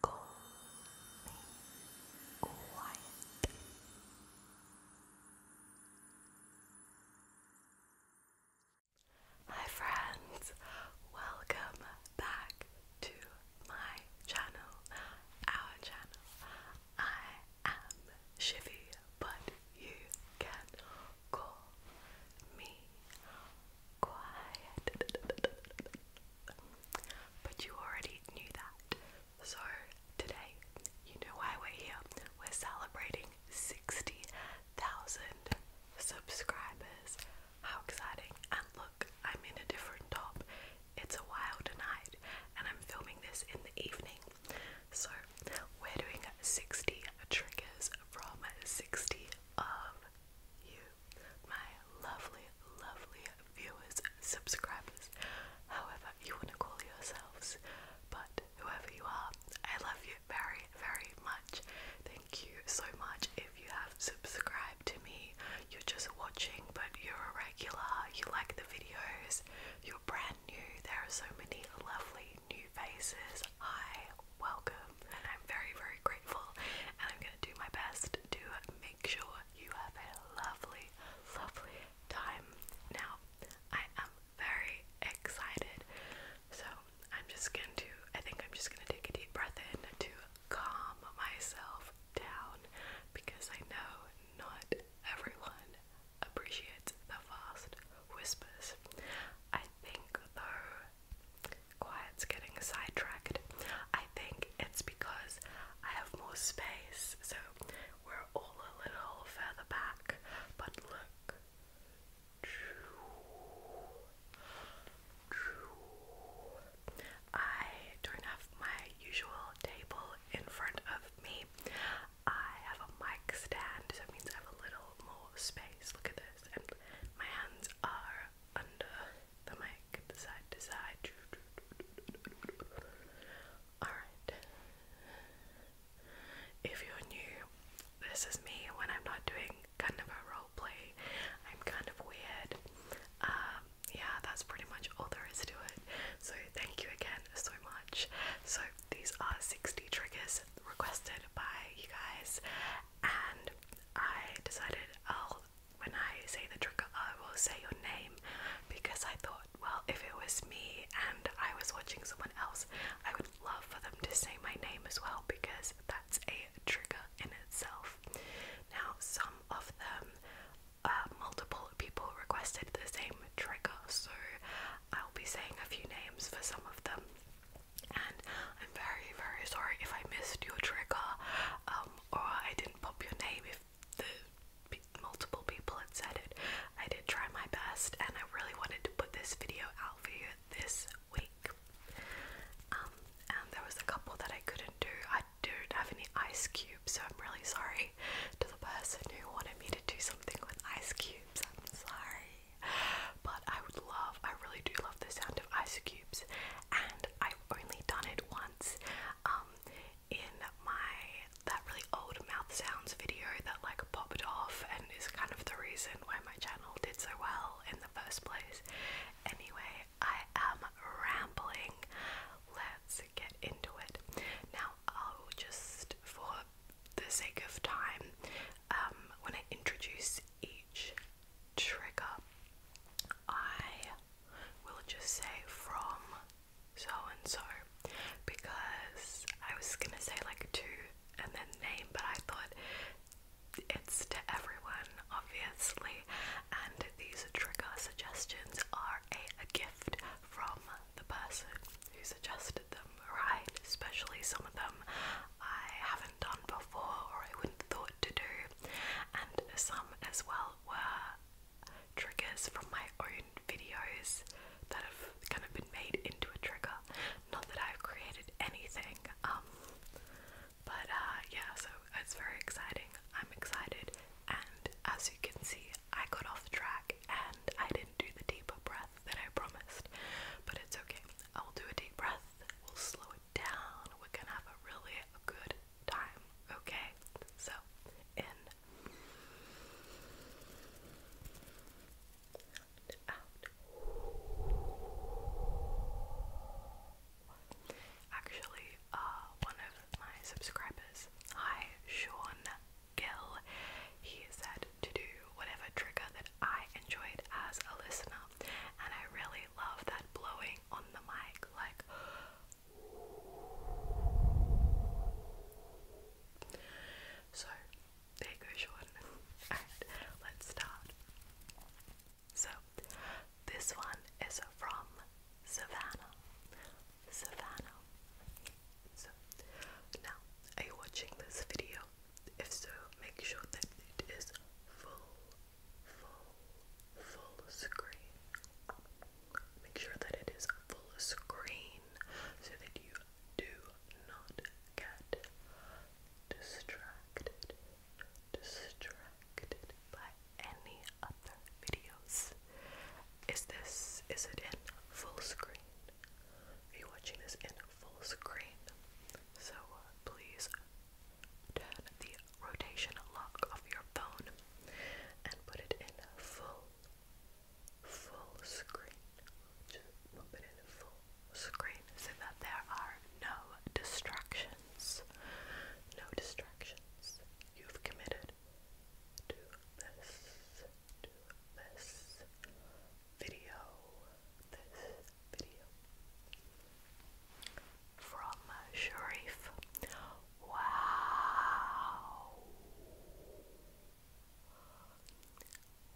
quiet. Hi friends, welcome back to my channel, our channel. I am Shivy, but you can call me quiet. But you already knew that. So today, you know why we're here. We're celebrating 60,000 subscribers. How exciting! And look, I'm in a different top. It's a wild night, and I'm filming this in the evening. So, we're doing 60 triggers from 60 of you my lovely, lovely viewers, subscribers, however you want to call yourselves. But whoever you are, I love you very, very much. Thank you so much. If you have subscribed to me, you're just watching, but you're a regular, you like the videos, you're brand new. There are so many lovely new faces. I welcome and I'm very, very grateful. And I'm gonna do my best to make sure you have a lovely, lovely time. Now, I am very excited, so I'm just going to, I think I'm just gonna take a deep breath in to calm myself down because I know not everyone appreciates the fast whispers. I think though quiet's getting sidetracked. I think it's because I have more space, so we're all a little further back. But look. I don't have my usual table in front of me. I have a mic stand, so it means I have a little more space. Look at this. And my hands are under the mic, side to side. Alright. If you're new, this is me when I'm not doing kind of a role play. I'm kind of weird. Um, yeah, that's pretty much all there is to it. So thank you again so much. So these are 60 triggers requested by you guys and I decided I'll when I say the trigger, I will say your name because I thought, well, if it was me and I was watching someone else, I would love for them to say my name as well because that's a trigger in itself. Now, some of them, uh, multiple people requested the same trigger, so I'll be saying a few names for some of them. And I'm very, very sorry if I missed your trigger. Um, um, or I didn't pop your name if multiple people had said it. I did try my best and I really wanted to put this video out for you this week. Um, and there was a couple that I couldn't do. I didn't have any ice cubes, so I'm really sorry to the person who wanted me to do something with ice cubes. I'm sorry. But I would love, I really do love the sound ice cubes, and I've only done it once um, in my that really old mouth sounds video that like popped off and is kind of the reason why my channel did so well in the first place. Anyway, I am rambling. Let's get into it. Now, I'll just, for the sake of time, um, when I introduce each trigger, I we'll just say from so and so because I was gonna say like to and then name, but I thought it's to everyone, obviously. And these trigger suggestions are a, gift from the person who suggested them, right? Especially some of them I haven't done before or I wouldn't thought to do and some as well were triggers from my own videos that have kind of been made into a trigger. Not that I've created anything, um, but uh, yeah, so it's very exciting. I'm excited, and as you can see, I got off track and I didn't do the deep breath that I promised, but it's okay. I'll do a deep breath, we'll slow it down, we're gonna have a really good time, okay? So, in Actually, uh, one of my subscribers, hi, Sean Gill, he said to do whatever trigger that I enjoyed as a listener, and I really love that blowing on the mic so there you go Jordan alright let's start so this one is from Savannah Savannah so now are you watching this video if so make sure that it is full full, full screen. Make sure that it is full screen so that you do not get distracted, distracted by any other videos. Is this, is it in full screen? Are you watching this in full screen? So uh, please turn the rotation lock of your phone and put it in full, full screen. Just pop it in full screen so that there are no distractions. No distractions. You've committed to this, to this video, this video from Sharif. Wow.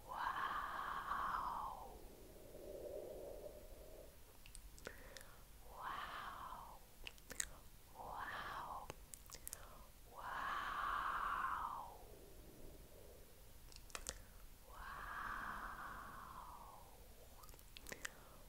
Wow. Wow. Wow. Wow. Wow.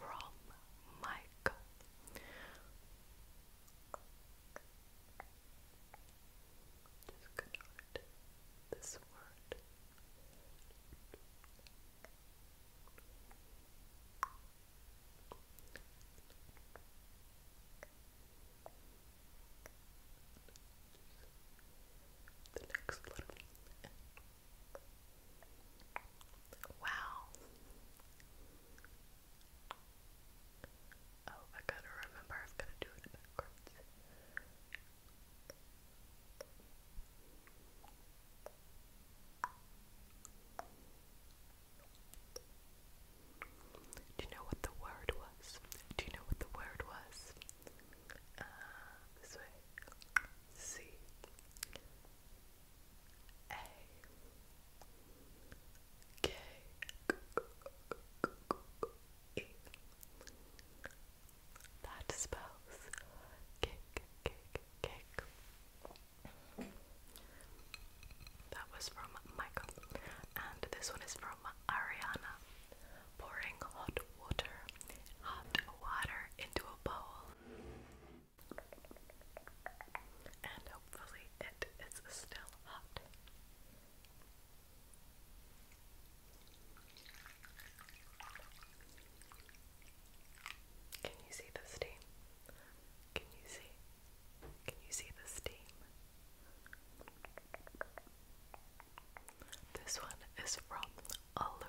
from Mike. Just going this word. The next letter. Wow. Oh, I gotta remember I've gotta do it backwards. Do you know what the word was? Do you know what the word was? Uh, this way. C A K E. That spells cake, cake, cake. That was from Michael, and this one is from Ariana. Pouring hot water, hot water into a bowl and hopefully it is still hot. Can you see the steam? Can you see? Can you see the steam? This one is from Alu.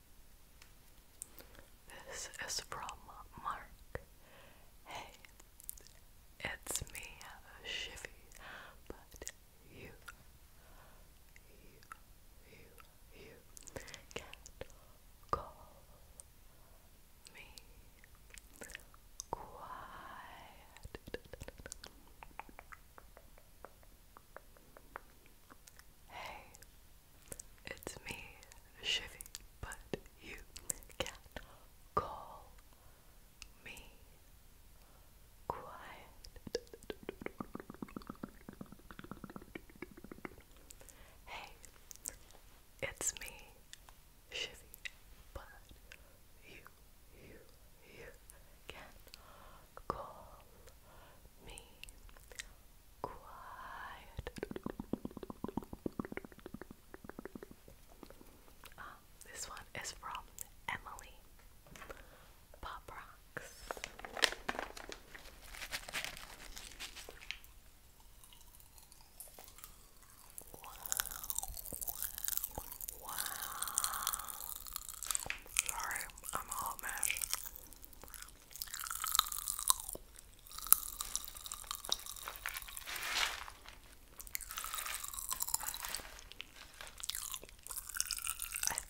This is from Mark. Hey, it's me, Shivy, but you, you, you, you can't call me quiet. Hey, it's me, Shifty, but you can call me quiet. Hey, it's me, Shivy, but you, you, you can call me quiet. Ah, this one is from Emily Pop Rocks. Wow, Sorry, I'm a hot I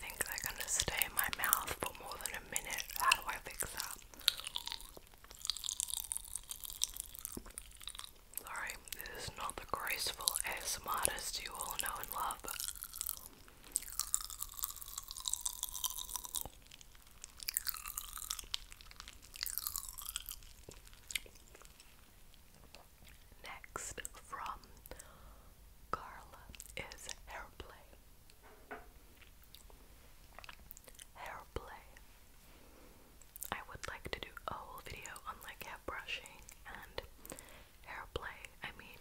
think they're going to stay in my mouth for more than a minute. How do I fix that? Sorry, this is not the graceful ASMR artist you all know and love. Next from Carla is Hairplay. Hairplay. I would like to do a whole video on like hair brushing and hairplay. I mean,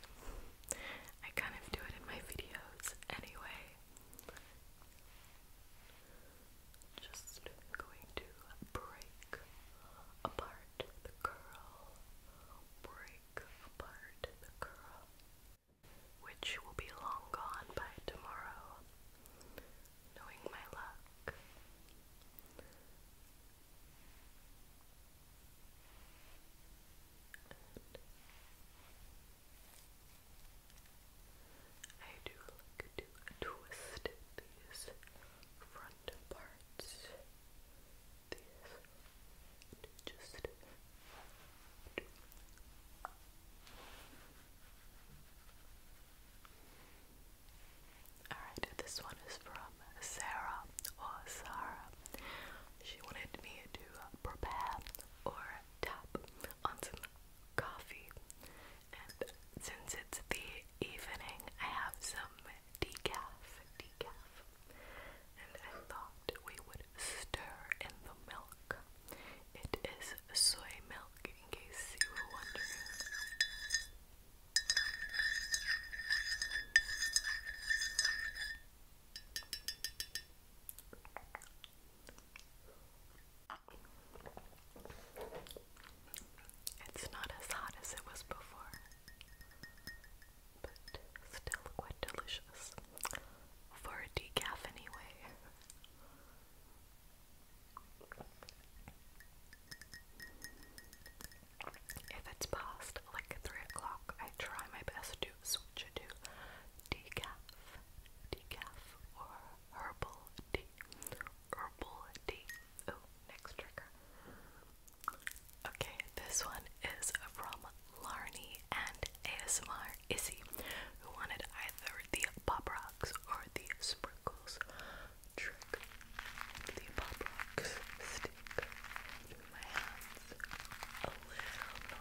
I kind of do it in my videos anyway, just going to break apart the curl, break apart the curl, which will be long gone by tomorrow, knowing my luck. I do like to twist these front parts. These just Alright, this one is from Sarah or Sarah. She wanted me to prepare or tap on some coffee. And since it's the evening, I have some decaf, decaf. And I thought we would stir in the milk. It is soy milk, in case you were wondering. It's not as hot as it was before, but still quite delicious for decaf anyway. If it's past like 3 o'clock, I try my best to switch to decaf, decaf, or herbal tea, herbal tea. Oh, next trigger. Okay, this one is from Larney and ASMR Issy, who wanted either the pop rocks or the sprinkles trick. The pop rocks stick to my hands a little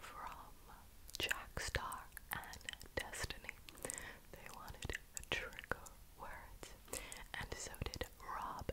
From Jackstar and Destiny, they wanted a trigger words, and so did Rob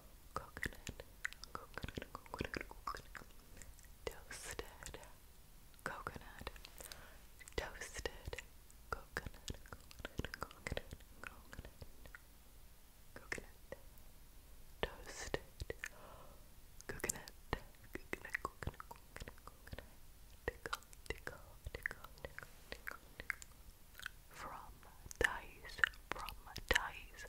coconut, coconut, coconut, toasted coconut, toasted coconut, coconut, coconut, coconut, coconut, toasted coconut, coconut, coconut, coconut, coconut, from traumatize, traumatize. Traumatize,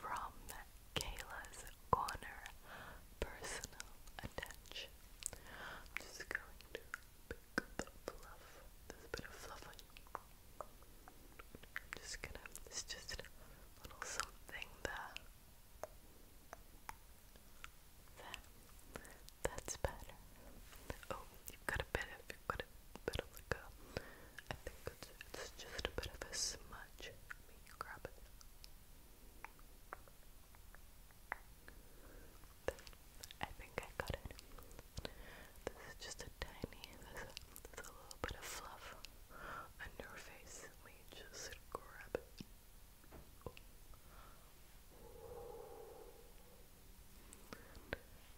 From Kayla's Corner Personal Attention. I'm just going to pick the fluff. There's a bit of fluff on you. just gonna, it's just a little something There. That's better. Oh, you've got a bit of, you've got a bit of like a, I think it's, just a bit of a smudge. Let grab it. I think I got it. This is just a tiny, there's a, little bit of fluff on your face. Let just grab it.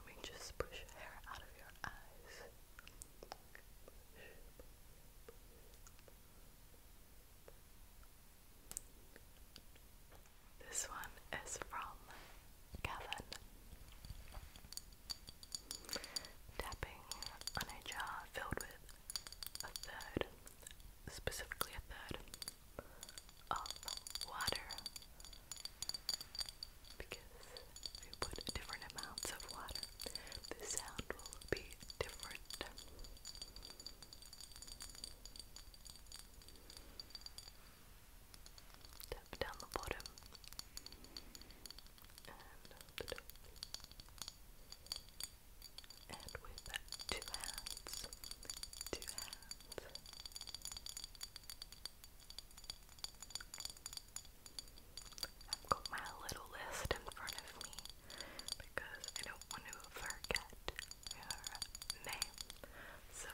We just push hair out of your eyes. This one is from Kevin. Tapping on a jar filled with a third, specifically a third, of water because if you put different amounts of water, the sound will be different. Tap down the bottom and with two hands, two hands, I've got my little list in front of me because I don't want to forget her name. So,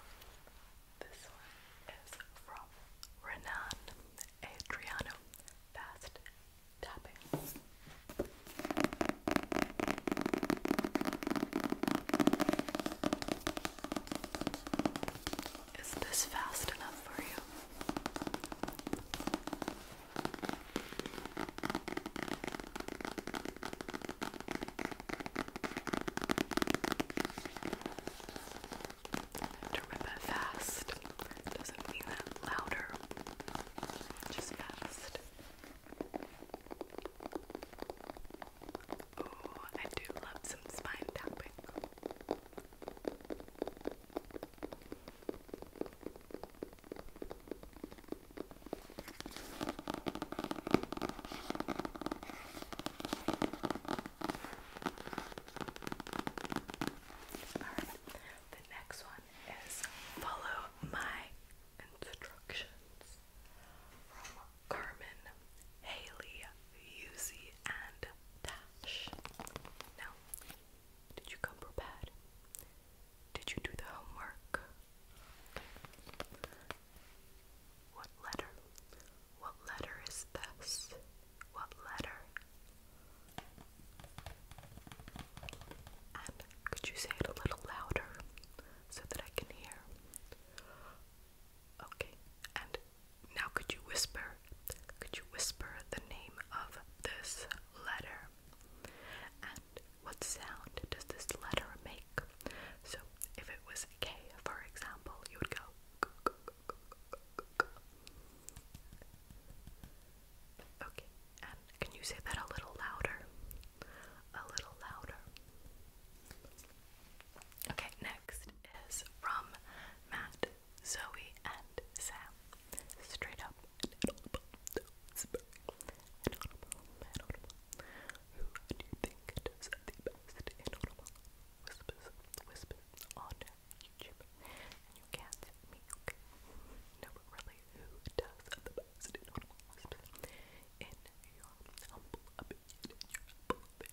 this one is from Renan Adriano Fast Tapping. Is this fast enough for you? To rip it fast doesn't mean that louder, just fast. Oh, I do love some spine tapping. Alright, the next one is follow my instructions from Carmen, Haley, Yuzi, and Dash. Now, did you come prepared? Did you do the homework? What letter? What letter is this? What letter? And could you say it a little louder so that I can hear? Okay, and now could you whisper? Could you whisper the name of this letter? And what sound does this letter make? So, if it was K, for example, you would go. Okay, and can you say that a little louder? A little louder. Okay, next is from Matt, Zoe, and Sam. Straight up Who do you think does the best inaudible whispers, whispers on YouTube? you can't see me, okay? No, really, who does the best inaudible whispers? in your humble opinion.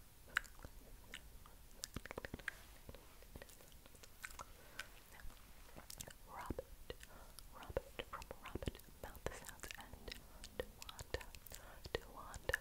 Robert, Robert from Robert Mouth Sounds and Dewanda, Dewanda. Robert,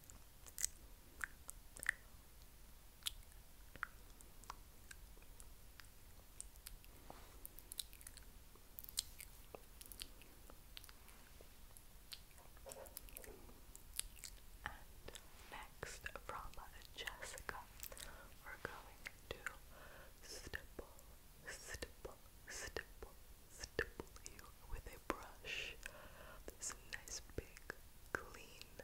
next from Jessica, we're going to stipple, stipple, stipple, stipple you with a brush. This nice big clean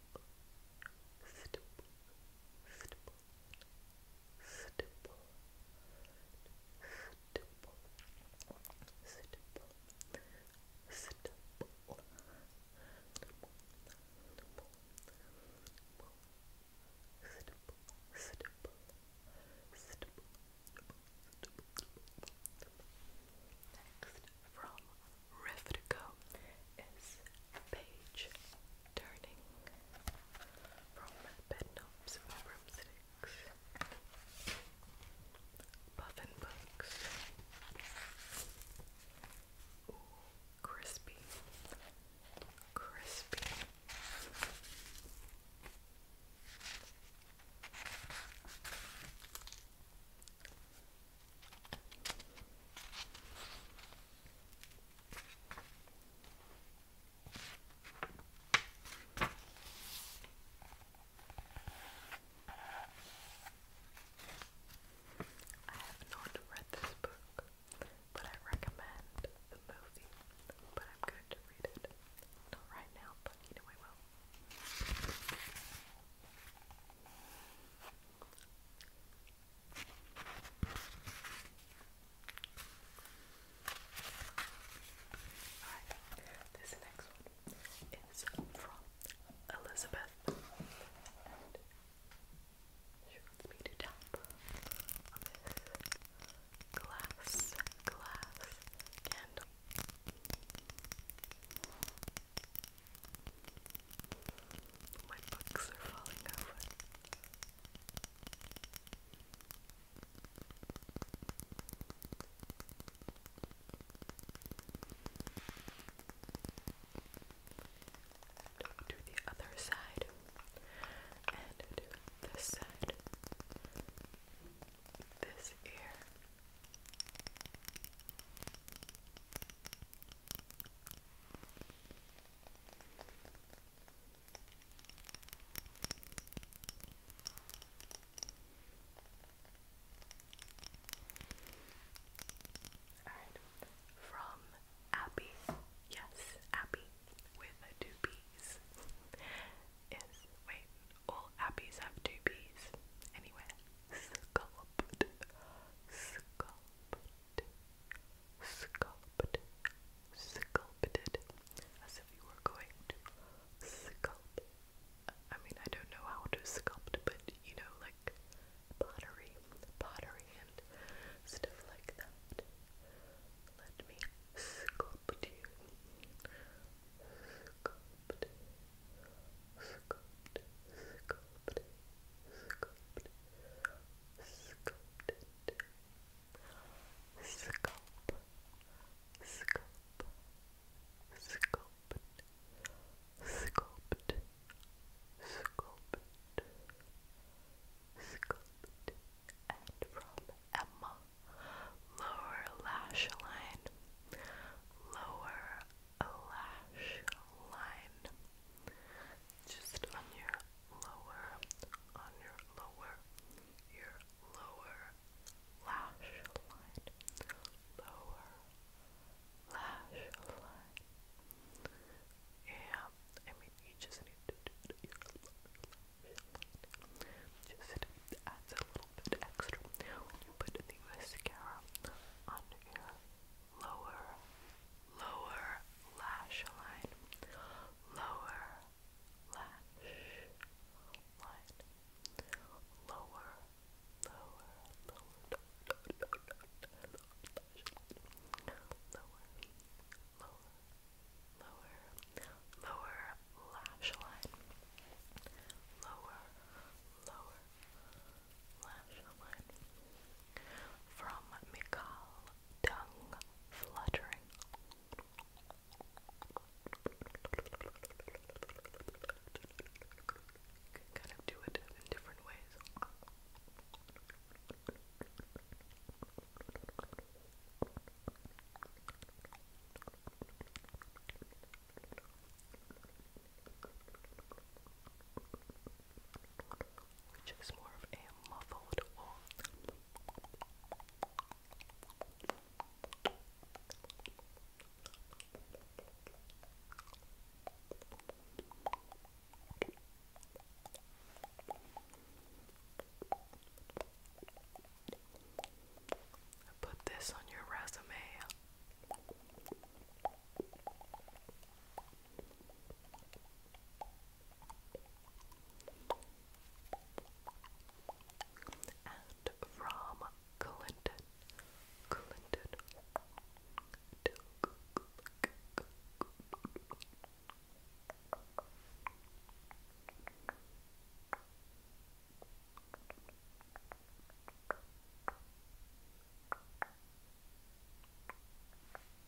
stipple, stipple, Next, from Refrigo page turning from bed knobs and Puffin books. Ooh, crispy. Crispy. I have not read this book, but I recommend the movie. But I'm going to read it. Not right now, but you know Alright, this next one is from Elizabeth she wants me to tap glass, glass candle. My books are falling over. Do the other side and do this side, this ear. Alright, from Abby, yes, Abby with two B's. is, wait, all Abbeys have two Anyway, sculpt, sculpt, sculpted, sculpted, as if you were going to sculpt. I mean, I don't know how to sculpt, but you know, like pottery, pottery, and stuff like that. Let me sculpt you. sculpt, sculpt, sculpt, sculpt, sculpted sculpt sculpt sculpt sculpt sculpt sculpt and from Emma lower lash line lower lash line just on your lower, on your lower, your lower lash line, lower lash line. Yeah, I mean you just need to do Just adds a little bit extra when you put the mascara on your lower, lower lash line, lower lash line, lower, lower, lower, lower, lower, lower, lower, lower lash line, lower, lower lash Merlin from Mikal Tongue Fluttering. kind of do it in different ways which is more of a muffled wool. Put this on your resume. And from Clinton, Clinton to Clinton.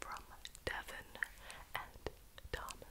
From Devon and Thomas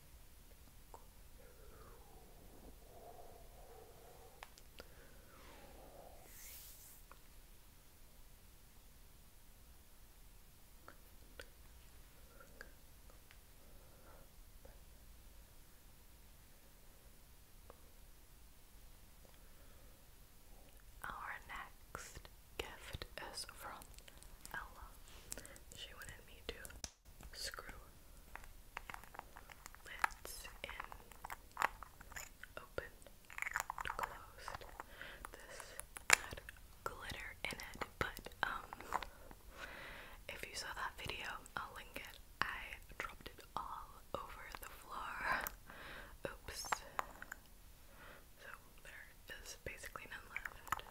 Our next gift is from Ella. She wanted me to screw lids in, open, closed. This had glitter in it, but um, if you saw that video, I'll link it. I dropped it all over the floor. Oops. So there is basically none left.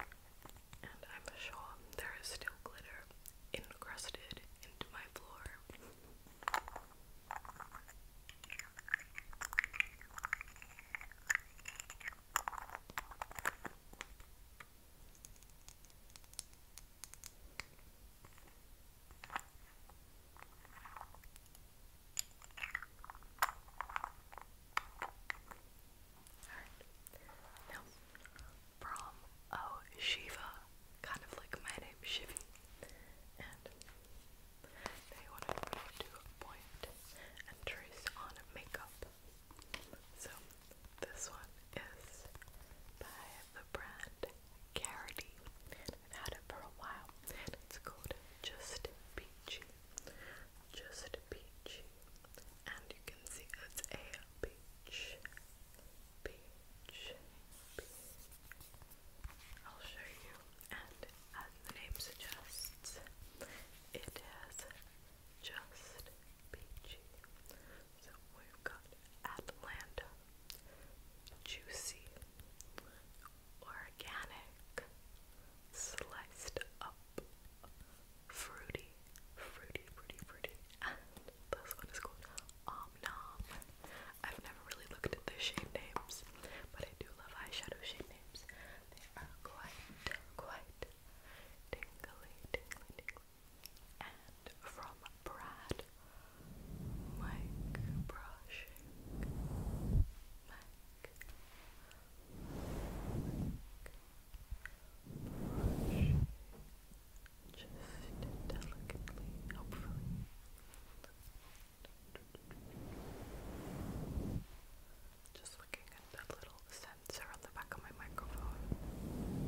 And I'm sure there is still glitter encrusted into my floor. Alright. Now, from oh, Shiva, kind of like my name, Shivy. And they wanted me to point and trace on makeup. So this one is by the brand Carity. I've had it for a while. It's called Just Peachy. Just Peachy and you can see it's a beach, beach, I'll show you, and as the name suggests, it is just beachy. So we've got Atlanta, juicy, organic, sliced up fruity, fruity, fruity, fruity. this one is called Om Nom. I've never really looked at the shade names, but I do love eyeshadow shade names. They are quite, quite tingly, tingly, tingly. And from Brad, Mike Brushing. Mike. Mike brush just delicately, hopefully. Just looking at that little sensor on the back of my microphone,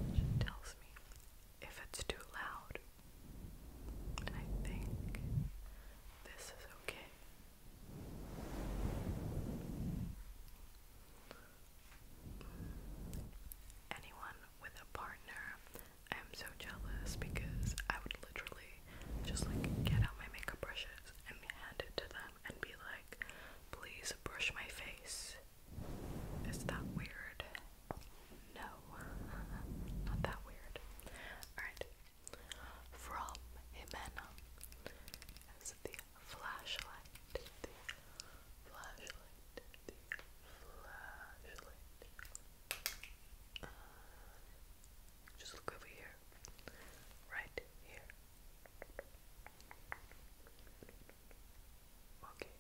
which tells me if it's too loud. And I think this is okay anyone with a partner. I'm so jealous because I would literally just like get out my makeup brushes and hand it to them and be like, please brush my face. Is that weird? No, not that weird. Alright, from Jimena flashlight, flashlight, flashlight. just look over here, right here. Okay,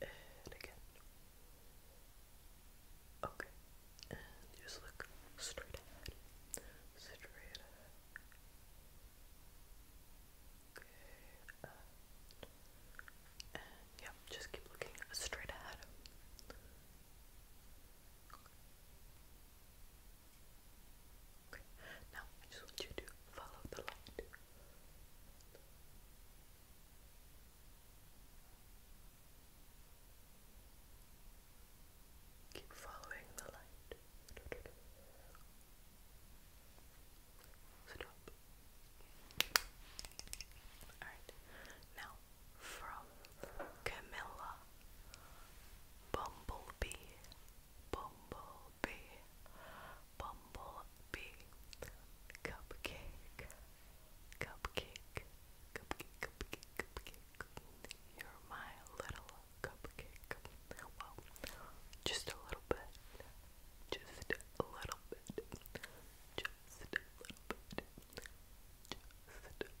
and again. Okay, and just look straight ahead, straight ahead. Good. just keep looking straight ahead. Now I just want you to follow the light. Keep following the light. Now from Camilla Bumblebee Bumblebee Bumblebee Cupcake Cupcake Cupcake Cupcake Cupcake You're my little cupcake. Well, just a little bit. Just a little bit. Just a little bit. Just a little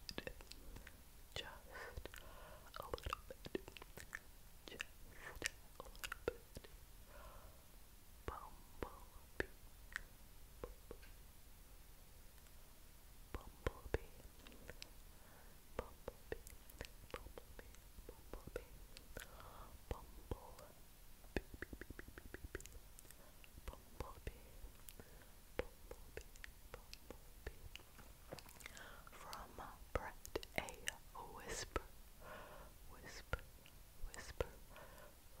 bit. Just a little bit. Just a little bit. Bumblebee. Bumblebee. Bumblebee, Bumblebee, Bumblebee, From A. Whisper, Whisper, Whisper,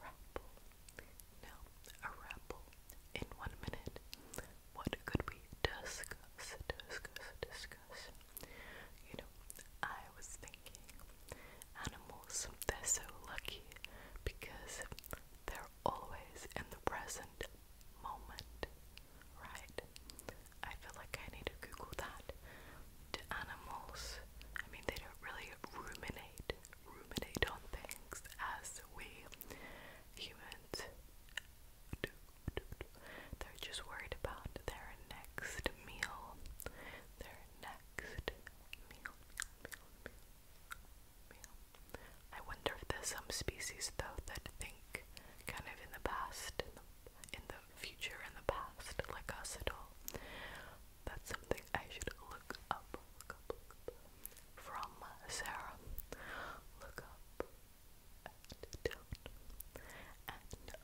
Ramble. Now, a ramble in one minute. What could we discuss, discuss, discuss? You know, I was thinking animals, they're so lucky because they're always in the present moment, right? I feel like I need to Google that. Do animals, I mean, they don't really ruminate, ruminate on things as we humans do. They're just worried about their next meal. Their next meal, meal, meal, meal. I wonder if there's some species though that think kind of in the past, in the, future, in the past, like us at all. That's something I should look up. From Sarah. Look up and down, and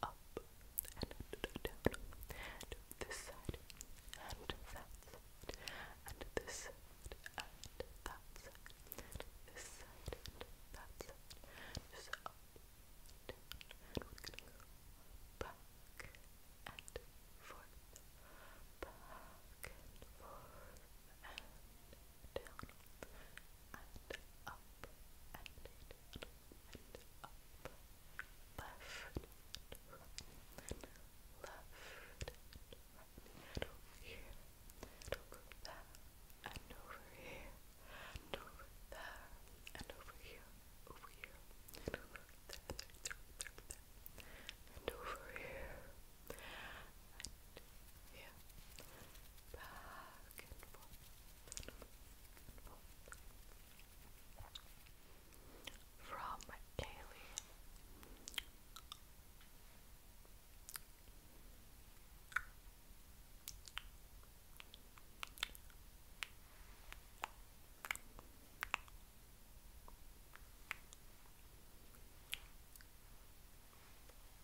up, and down, and this side, and that side, and this and that side, this side, that side, just up, and back and forth, back and forth, down and up and left and left and over here and over there and over here and over there and over here over here and over there and over here yeah. Back and forth. From Daily.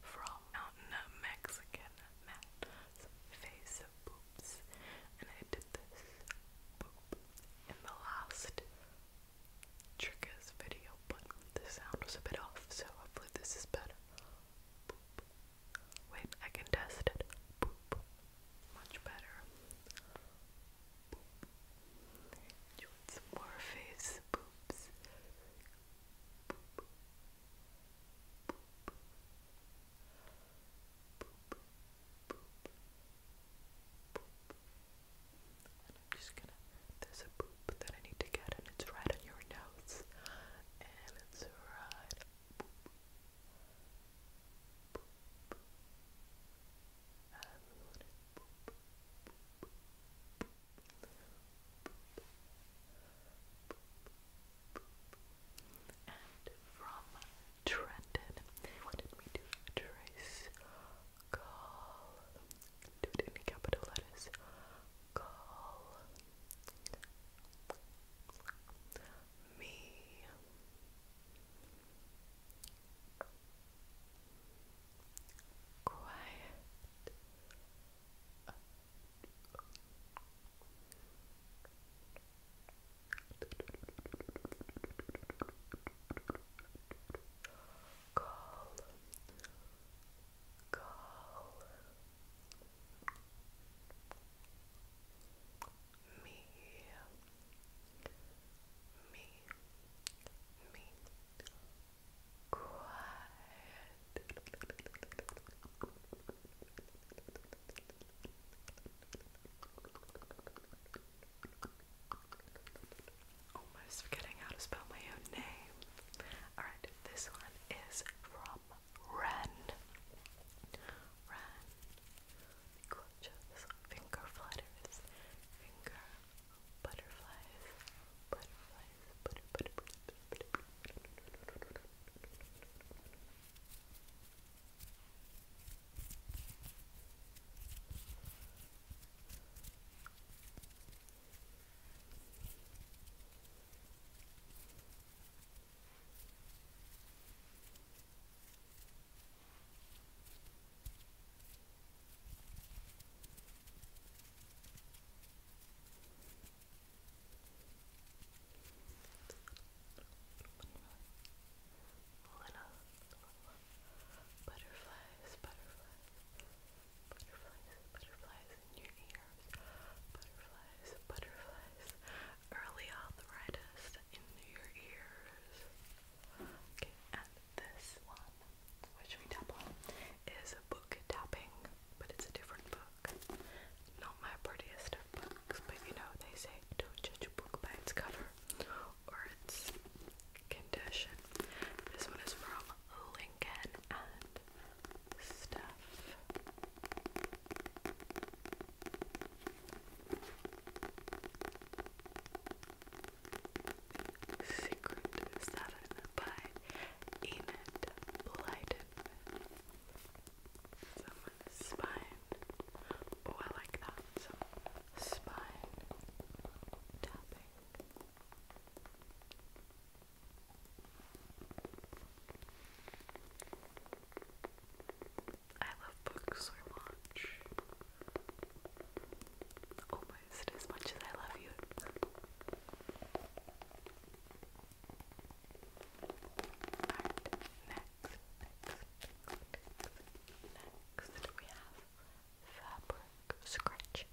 From mountain Mexican mat face of boops, and I did this in the last Trigger's video, but the sound was a bit off, so hopefully this is better. Wait, I can test it. Much better. some more face boops. I'm just gonna, there's a boop that I need to get, and it's right on your nose. And it's right. And from Trenton, they wanted me to trace call, do it in capital letters, call me quiet call, call me, me, me, quiet. Quiet, Almost forgetting how to spell my own name. Alright, this one is from Ren. Ren. Gorgeous finger flutters. Finger butterflies. Butterflies. Butter, butter, butter, butter, butter, butter butterflies, butterflies, butterflies, butterflies in your ears, butterflies, butterflies, early arthritis in your ears. Okay, and this one, which we double, is a book tapping, but it's a different book. Not my prettiest books, but you know, they say don't judge a book by its cover or its condition. This one is from Lincoln and stuff. Secret Seven by Enid Blyton. Someone's Oh, I like that. So, I love books so much. Almost as much as I love you. Alright, next, next, next, next we have fabric scratch.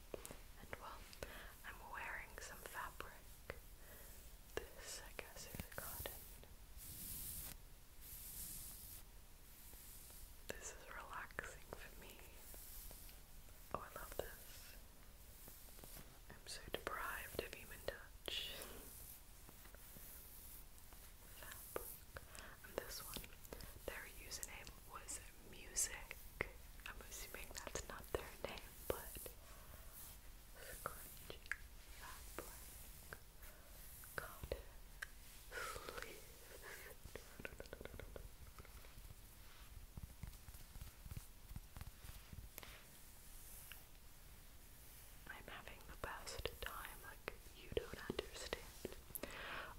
And well, I'm wearing some fabric. This, I guess, is cotton. This is relaxing for me. Oh, I love this. I'm so deprived of human touch. Fabric. this one, they're was music. I'm assuming that's not their name, but I'm having the best time, like you don't understand.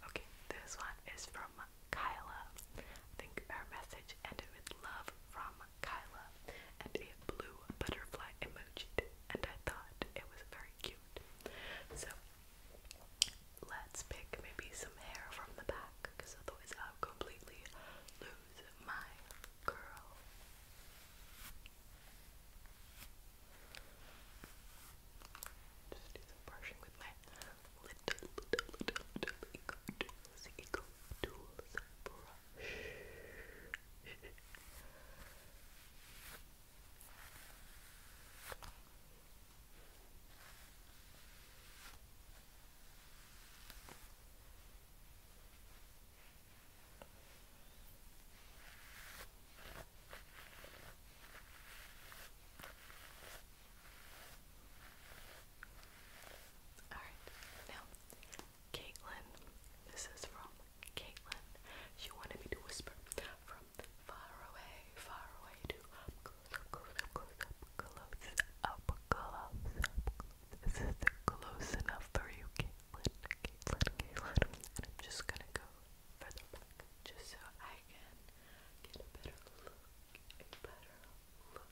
Okay, this one is from Kyla. I think her message ended with love from Kyla and a blue butterfly emoji, and I thought it was very cute. So let's pick maybe some hair from the back because otherwise I'll completely lose my girl. Just do some brushing with my little, little, little, little eco tools, eco tools brush. Alright, now, Caitlin, this is from Caitlin. She wanted me to whisper from far away, far away to close, up close, up close, up close, up close, up close. This is close enough for you, Caitlin, Caitlin, Caitlin. And I'm just gonna go further back just so I can get a better look, a better look,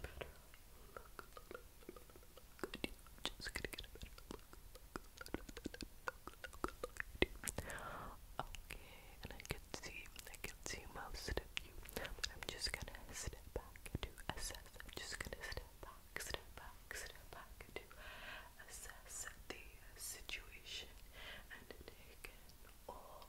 a better look, look, look, look at you. Just gonna get a better look, look, look, look, look at you. Okay, and I can see, I can see most of you, but I'm just gonna step back to assess. I'm just gonna step back, step back, step back to assess the situation and take in all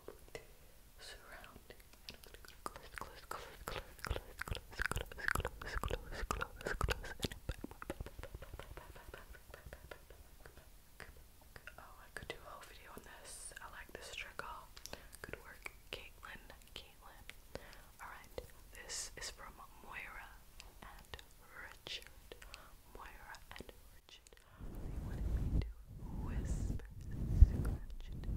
surrounding and close, close, close, close, close, close, close, close, close, close, close, and back, back, back, Oh, I could do a whole video on this. I like this trickle. Good work, Caitlin. Caitlin. Alright, this is from Moira and Richard. Moira and Richard. They wanted me to whisper, scratched the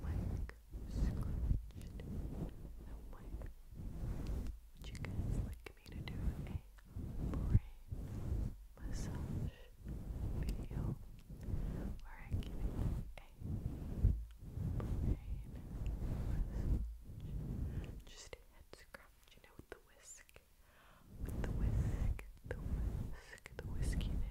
mic, scratched the mic. Would you like me to do a brain massage video where I give a brain massage? Just head scratch, you know, with the whisk. With the whisk, the whisk, the whiskey there.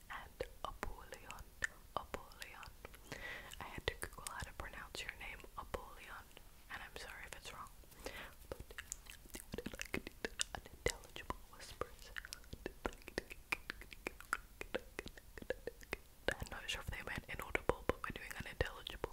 and Apulion. Apulion. I had to Google how to pronounce your name, Apulion, and I'm sorry if it's wrong. unintelligible whispers. I'm not sure if they meant inaudible, but we're doing unintelligible.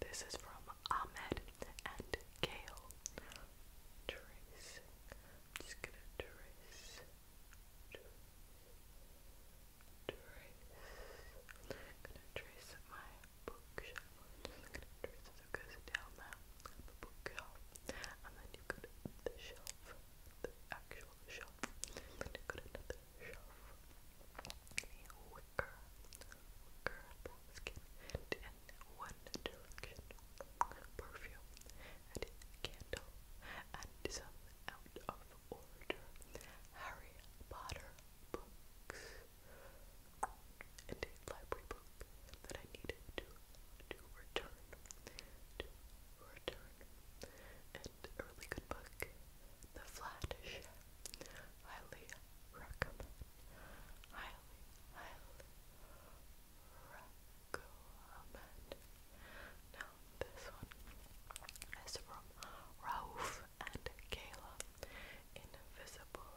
This is from Ahmed and Gail. Trace. just gonna trace. Trace. gonna trace my bookshelf. gonna trace it so down there. bookshelf. And then you go to the shelf. The actual shelf. And then you another wicker, wicker basket, and in one direction perfume and candle and some out of order Harry Potter books and a library book that I needed to to return to return a really good book, The Flattish. Highly recommend. Highly, highly recommend. Now, this one is from and Kayla. Invisible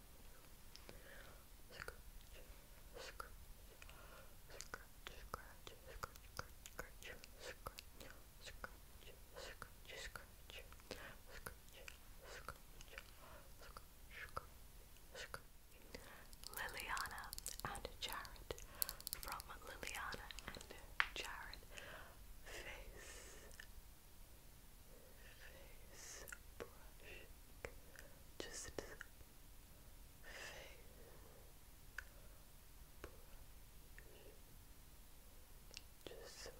Liliana and Jared from Liliana and Jared face face brushing, just face brushing. Just face, face, face,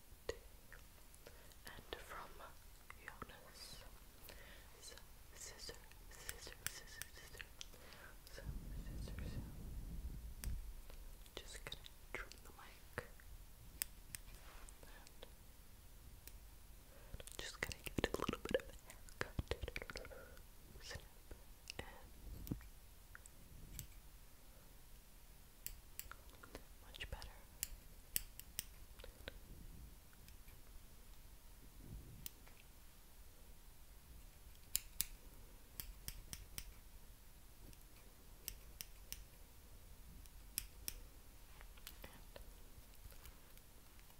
to and from Jonas. So, scissor, scissor, scissor, scissor. So, Just gonna trim the mic. just gonna give it a little bit of a haircut. Much better.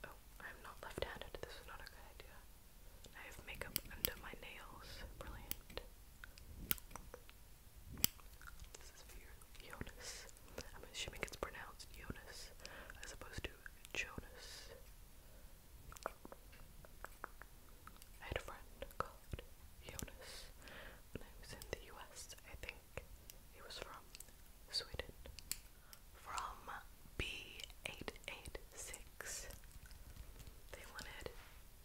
oh, I'm not left-handed. This is not a good idea. I have makeup under my nails. Brilliant. This is for Jonas. I'm assuming it's pronounced Jonas as opposed to Jonas. I had a friend called Jonas when I was in the US. I think he was from Sweden. From B886. They wanted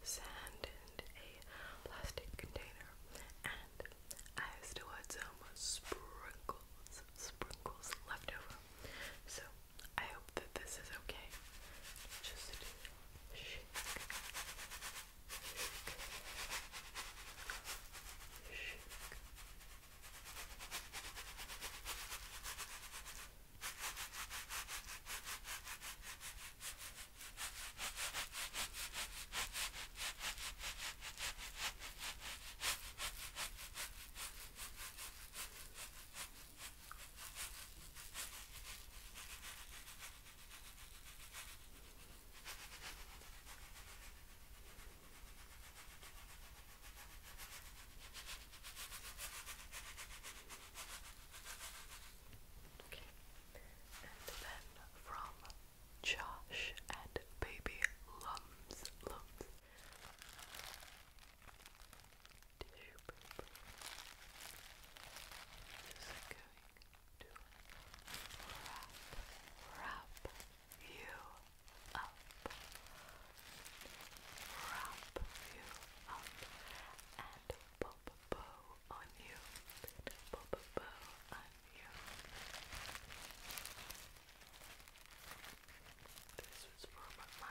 sand and a plastic container and I still had some sprinkles, sprinkles left over. So I hope that this is okay. Just shake, shake, shake. Okay. And then from Josh and baby Lums Lums tissue paper is going to wrap, wrap you up wrap you up and pop a bow on you pop a bow on you. This was from my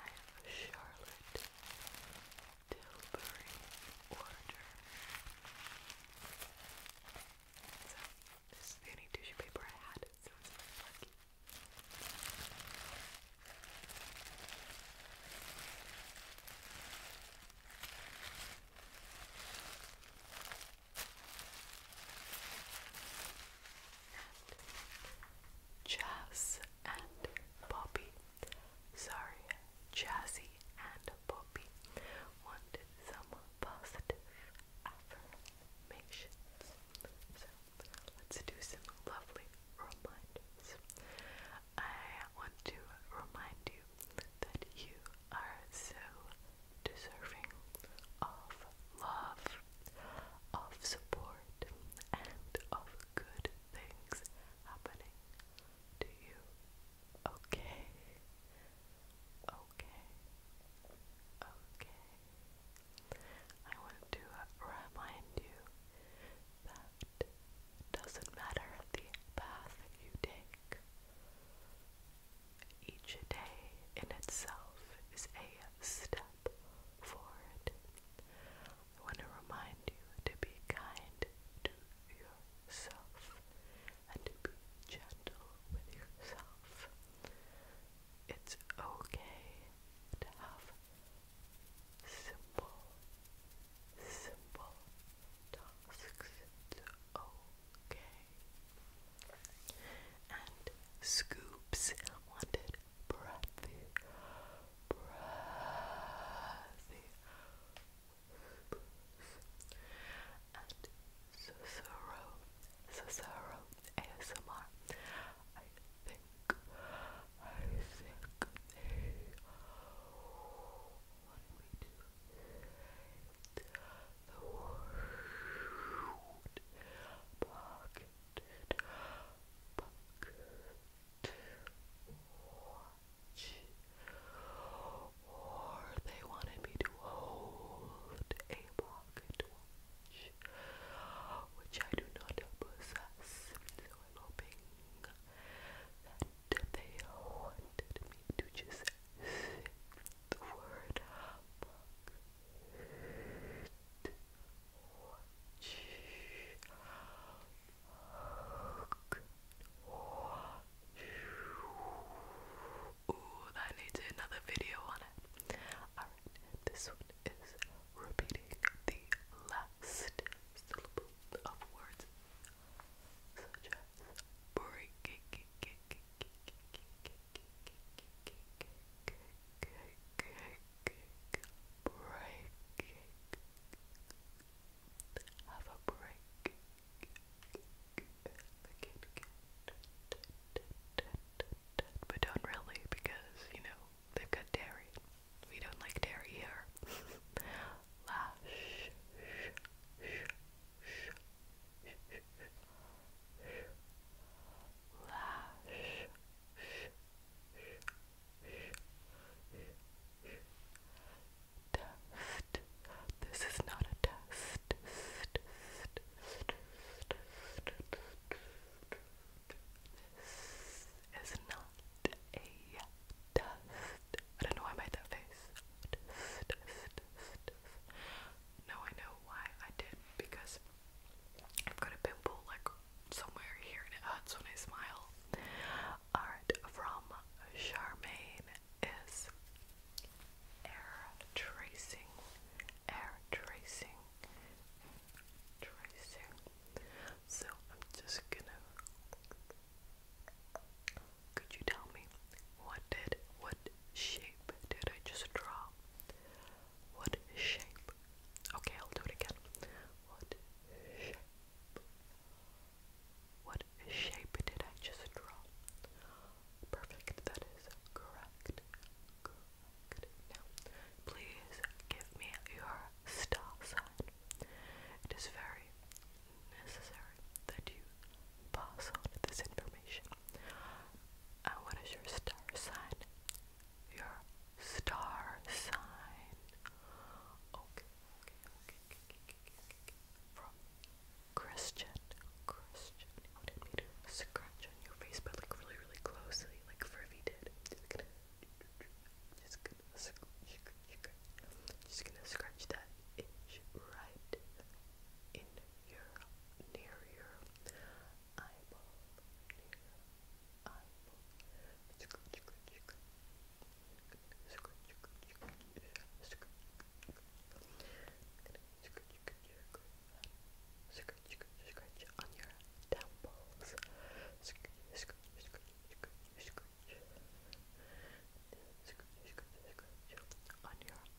Charlotte Tilbury order. So, this is the only tissue paper I had, so it's very lucky. Jazz and Bobby. Sorry, Jazzy and Bobby wanted some positive affirmations. So let's do some lovely reminders. I want to remind you that you are so deserving of love, of support, and of good things happening to you. Okay, okay, okay. I want to remind you that it doesn't matter the path you take. Each day in itself is a step forward. I want to remind you to be kind to yourself and to be gentle with yourself. It's okay to have simple, simple tasks okay. And Scoops wanted breathy, breathy And Cicero, Cicero ASMR, I think, I think the word bucket, watch. Or they wanted me to hold a pocket watch, which I do not possess. So I'm hoping that they wanted me to just the word humbug ooh that needs another video on it this one is repeating the last syllable of words such as breaking break. Have a break. But don't really because, you know, they've got dairy. We don't like dairy here. test this is not a test this is not a test I don't know why I made that face sensitive. I know why I did because I've got a pimple like somewhere here and it hurts when I smile. Art from Charmaine is air tracing, air tracing, tracing. So I'm just gonna could you tell me what did what shape did I just draw? What shape? Okay, I'll do it again. What shape? What shape did I just draw? Perfect, that is correct. Now, please give me your star sign. It is very necessary that you pass on this information. And what is your star sign? Your star sign. Okay, okay, okay, okay, okay, okay, okay. From Christian, Christian. You wanted me to scratch on your face, but like really, really closely, like Furby did. just gonna scratch that itch right in your near your eyeball, eyeball. on your temples. on your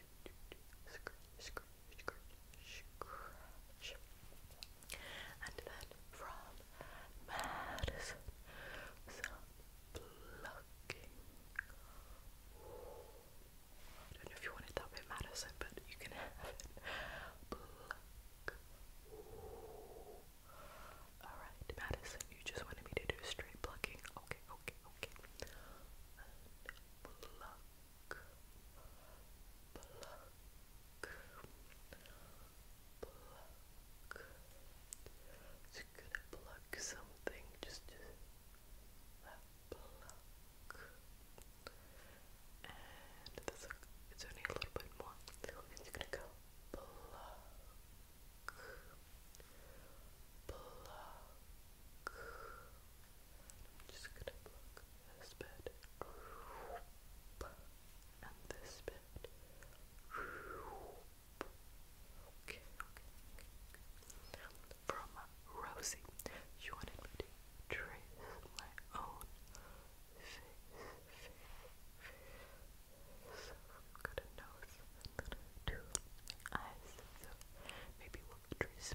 scratch, And then from Madison, some plucking. I don't know if you want that way, Madison, but you can have it. Pluck. Alright, Madison, you just wanted me to do straight plucking. Okay, okay, okay. So you gonna pluck something, just just And it's only a little bit more. So gonna go I'm just gonna block this bit and this bed. Okay, okay, okay. From uh, Rosie, you wanted me to trace my own face, face, face. So I've got a nose and then two eyes. So maybe we'll trace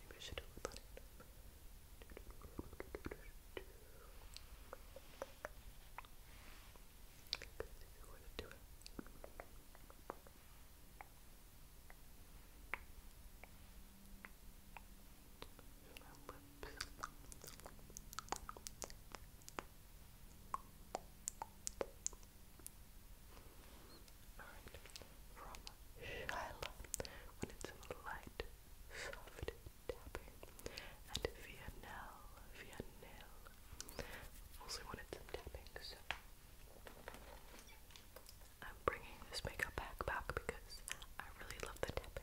Maybe I should do it with it. do it. Lip Alright, from Shyla, when it's light, soft tapping, and Vianelle, Vianelle, also when some tapping, so I'm bringing this makeup back because I really love the tapping.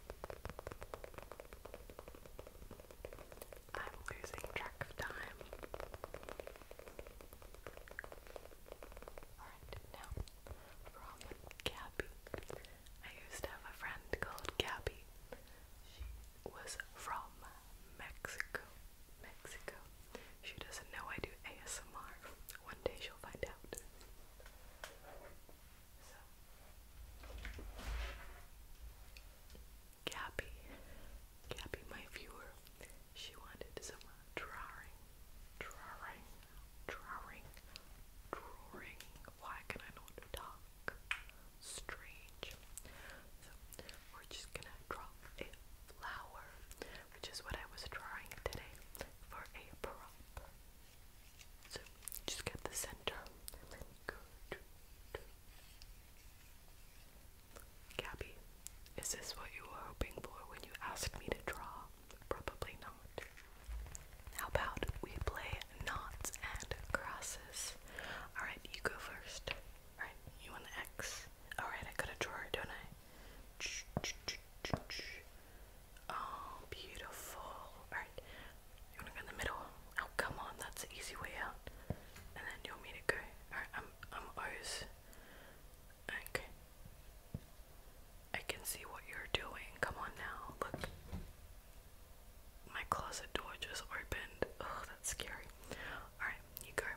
I'm losing track of time. Alright, now from Gabby. I used to have a friend called Gabby. She was from Mexico. Mexico. She doesn't know I do ASMR. One day she'll find out. So Gabby, my viewer, she wanted some drawing, drawing, drawing, drawing. Why can I not talk? Strange. So we're just gonna draw a flower, which is what I was drawing today for a prop. So just get the center and then Gabby, is this what you were hoping for when you asked me to draw? Probably not. How about we play knots and crosses? Alright, you go first. Alright, you want the X? Alright, I got a drawer, don't I? Oh, beautiful. Alright, you wanna go in the middle? Oh come on, that's the easy way out. And then you will meet it go? Alright, I'm I'm O's. Okay. I can see what you're doing. Come on now, look. My closet door just opened. Oh, that's scary. Alright, you go.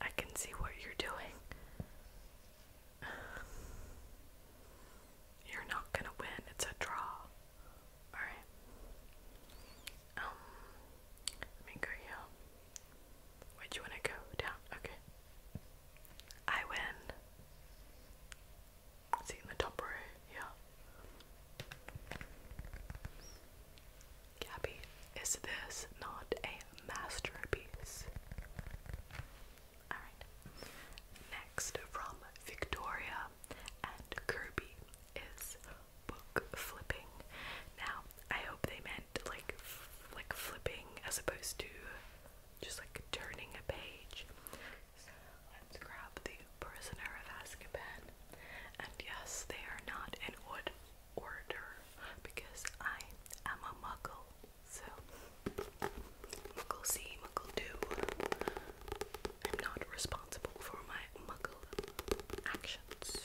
I can see what you're doing. You're not gonna win, it's a draw. Alright. Um let me go Where do you wanna go? Down? Okay. I win. Is in the top row? Yeah. Gabby, is this not a masterpiece? Alright. Next from Victoria and Kirby is book flipping. Now, I hope they meant like like flipping as opposed to just like turning a page. So let's grab the Prisoner of Azkaban. And yes, they are not in wood order because I am a muggle. So muggle see, muggle do. I'm not responsible for my muggle actions.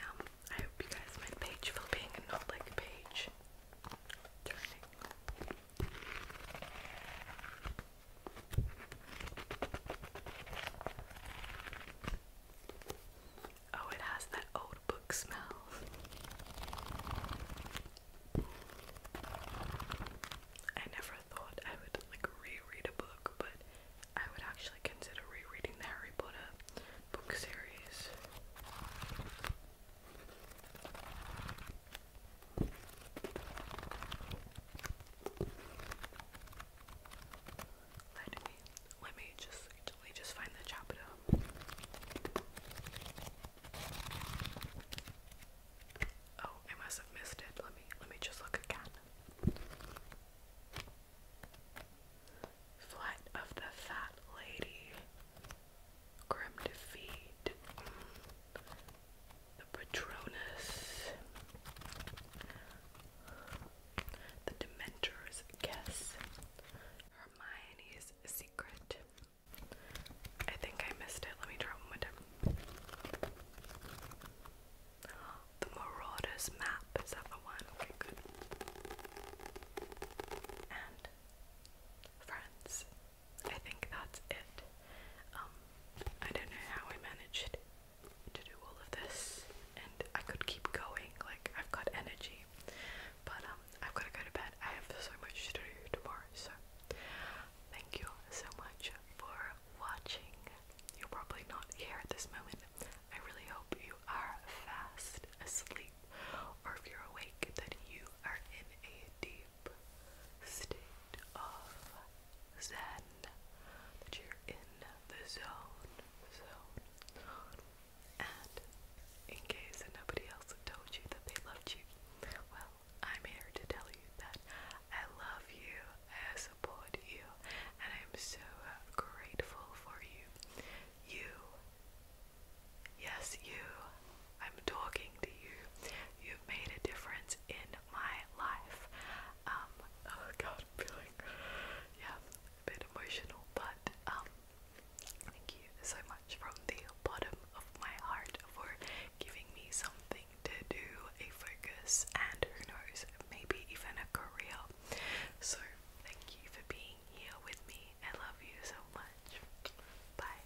Now, I hope you guys mind page flipping and not like page Oh, it has that old book smell. I never thought I would like reread a book, but I would actually consider rereading the Harry Potter book series. Let me let me just let me just find the chapter. Oh, I must have missed it. Let me let me just look again. Flight of the Fat Lady. Grim Defeat. The Patronus. The Dementor's Guess. Hermione's Secret. I think I missed it. Let me try one more time. The Marauders map. Is that the one? Okay, good. And friends. I think that's it. Um, I don't know how I managed to do all of this, and I could keep going. Like I've got energy, but um, i am going to go to bed. I have so much to do tomorrow, so thank you so much for watching. You're probably not here at this moment. I really hope you are fast asleep, or if you're awake, that you are in a deep state of zen, that you're in the zone, zone. And in case that nobody else told you that they loved you. Well, I'm here to tell you that I love you, I support you, and I'm so uh, grateful for you. You, yes, you, I'm talking to you. You've made a difference in my life. Um, oh god, feeling, yeah, a bit emotional, but, um, Thank you so much from the bottom of my heart for giving me something to do, a focus, and who knows, maybe even a career. So, thank you for being here with me. I love you so much. Bye.